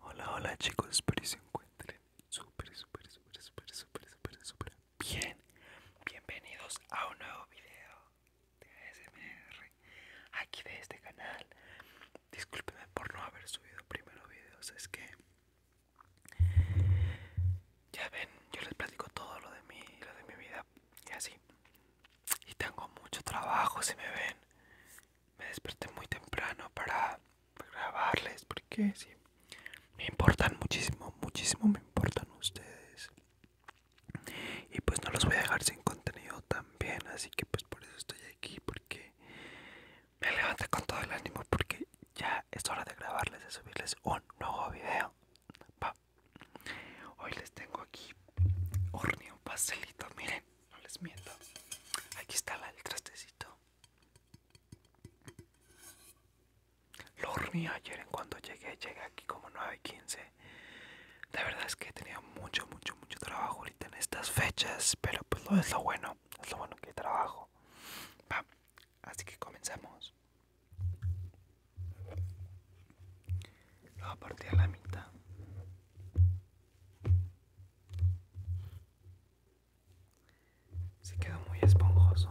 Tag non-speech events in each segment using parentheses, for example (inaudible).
Hola, hola chicos, espero que se encuentren súper, súper, súper, súper, súper, súper, súper bien. Bienvenidos a un nuevo video de ASMR aquí de este canal. Discúlpenme por no haber subido primero videos, es que ya ven, yo les platico todo lo de mí, lo de mi vida y así. Y tengo mucho trabajo, si me ven me desperté muy temprano para grabarles porque sí, me importan muchísimo, muchísimo me importan ustedes. Y pues no los voy a dejar sin contenido también, así que pues por eso estoy aquí, porque me levanté con todo el ánimo, porque ya es hora de grabarles, de subirles un nuevo video. Hoy les tengo aquí horneo un pastelito, miren no les miento. Aquí está el trastecito. Lo horneé ayer en cuando llegué, llegué aquí como 9 15. La verdad es que he tenido mucho, mucho, mucho trabajo ahorita en estas fechas, pero pues lo es lo bueno, es lo bueno que trabajo. Va, así que comenzamos. Lo voy a partir a la mitad. Se quedó muy esponjoso.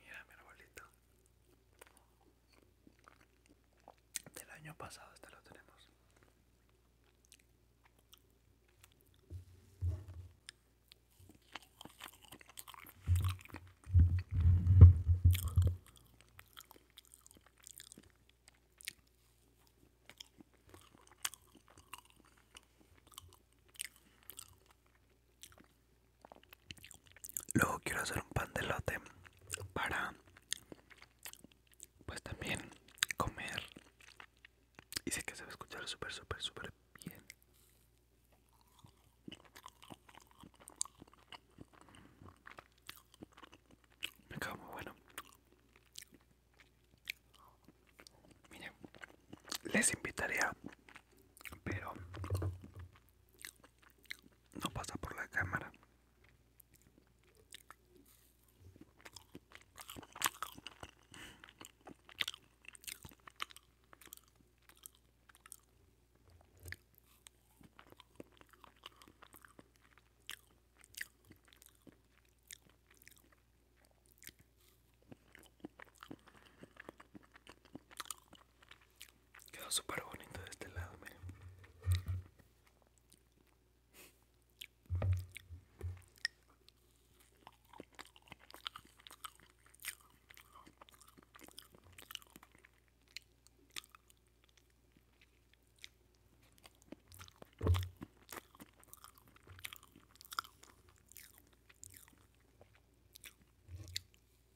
Mira mi arbolito. Del año pasado este lo tenemos. Luego quiero hacer un pan de lote para pues también comer. Y sé que se va a escuchar súper, súper, súper bien. Me quedo muy bueno. Miren, les invitaría, pero no pasa por la cámara. Quedó súper bonito de este lado, miren.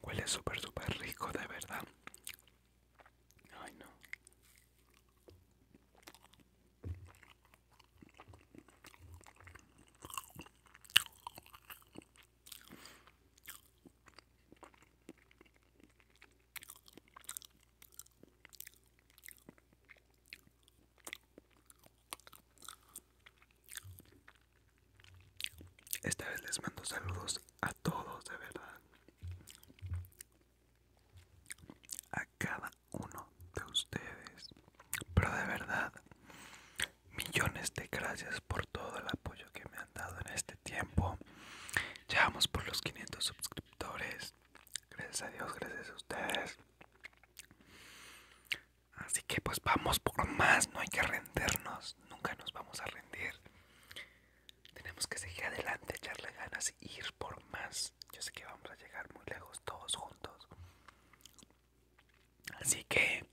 Huele súper, súper rico, de verdad. Ay, no. Esta vez les mando saludos a todos, de verdad. A cada uno de ustedes. Pero de verdad, millones de gracias por todo el apoyo que me han dado en este tiempo. Ya por los 500 suscriptores. Gracias a Dios, gracias a ustedes. Así que pues vamos por más, no hay que rendernos, nunca nos vamos a rendir. Tenemos que seguir adelante, echarle ganas e ir por más. Yo sé que vamos a llegar muy lejos todos juntos. Así que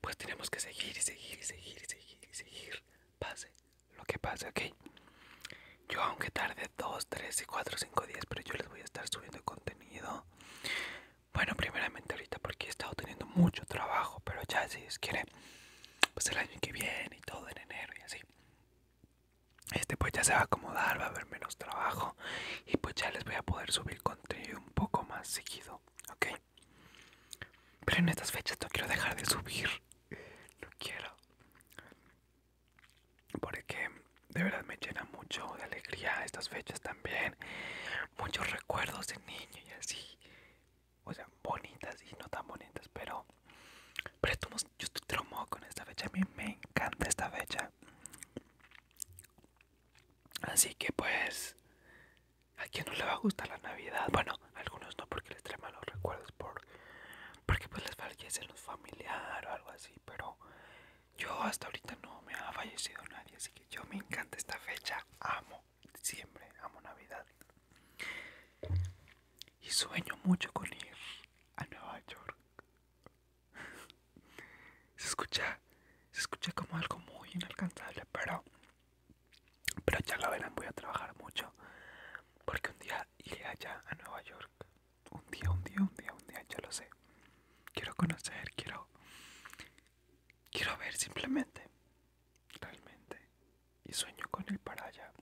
pues tenemos que seguir y seguir y seguir y seguir y seguir. Pase lo que pasa ok yo aunque tarde 2, 3, 4, 5 días, pero yo les voy a estar subiendo contenido. Bueno, primeramente ahorita porque he estado teniendo mucho trabajo, pero ya si es quiere, pues el año que viene y todo en enero y así. Este pues ya se va a acomodar, va a haber menos trabajo y pues ya les voy a poder subir contenido un poco más seguido, ¿ok? Pero en estas fechas no quiero dejar de subir, eh, no quiero porque de verdad me llena mucho de alegría estas fechas también muchos recuerdos de niño y así o sea bonitas y no tan bonitas pero pero yo estoy traumado con esta fecha a mí me encanta esta fecha así que pues a quien no le va a gustar la navidad bueno algunos no porque les trae malos recuerdos por porque pues les fallece los familiares o algo así, pero yo hasta ahorita no me ha fallecido nadie, así que yo me encanta esta fecha, amo diciembre, amo Navidad. Y sueño mucho con ir a Nueva York. (laughs) Se escucha, se como algo muy inalcanzable, pero pero ya lo verán, voy a trabajar mucho porque un día iré allá a Nueva York un día, un día, un día, un día, yo lo sé. Quiero conocer, quiero. Quiero ver simplemente. Realmente. Y sueño con él para allá.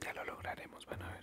Ya lo lograremos, van a ver.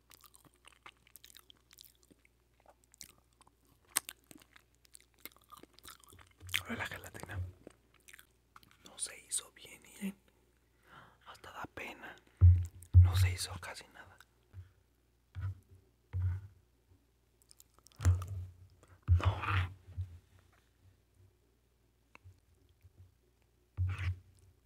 la gelatina no se hizo bien, Hasta da pena. No se hizo casi nada. No.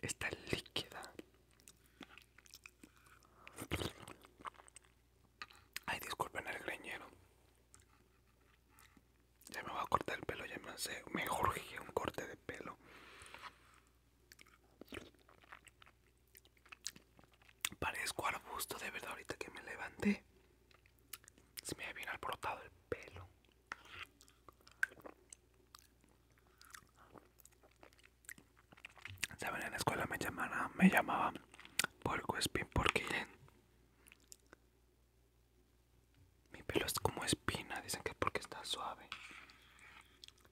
Está líquida. Ay, disculpen el greñero. Ya me voy a cortar el pelo, ya me hace mejor que un corte de pelo. Parezco arbusto de verdad ahorita que me levanté. Se me había bien alborotado el pelo. Saben, en la escuela me llamaban, me llamaban Porco espin porque mi pelo es como espina, dicen que porque está suave.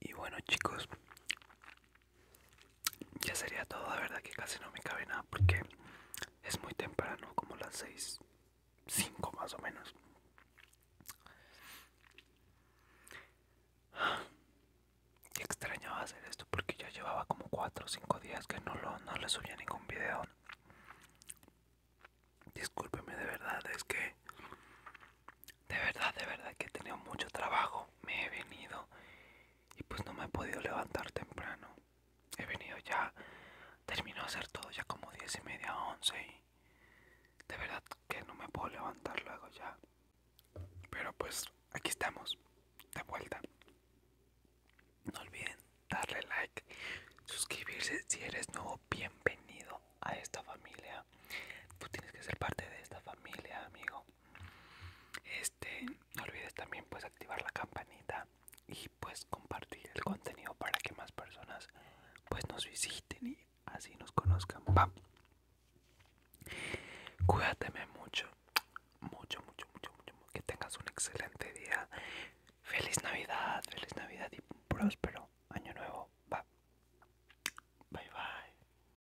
Y bueno chicos, ya sería todo, De verdad que casi no me cabe nada porque es muy temprano, como las 6, 5 más o menos. Y extrañaba hacer esto porque ya llevaba como 4 o 5 días que no, lo, no le subía ningún video. Discúlpeme de verdad, es que de verdad, de verdad que he tenido mucho trabajo. Me he venido y pues no me he podido levantar temprano. He venido ya, termino de hacer todo ya como 10 y media, 11 y de verdad que no me puedo levantar luego ya. Pero pues aquí estamos, de vuelta. No olviden darle like, suscribirse si eres nuevo, bienvenido a esta familia. Tú tienes que ser parte de esta familia, amigo este no olvides también pues activar la campanita y pues compartir el contenido para que más personas pues nos visiten y así nos conozcan va cuídateme mucho mucho mucho mucho mucho que tengas un excelente día feliz navidad feliz navidad y próspero año nuevo bye bye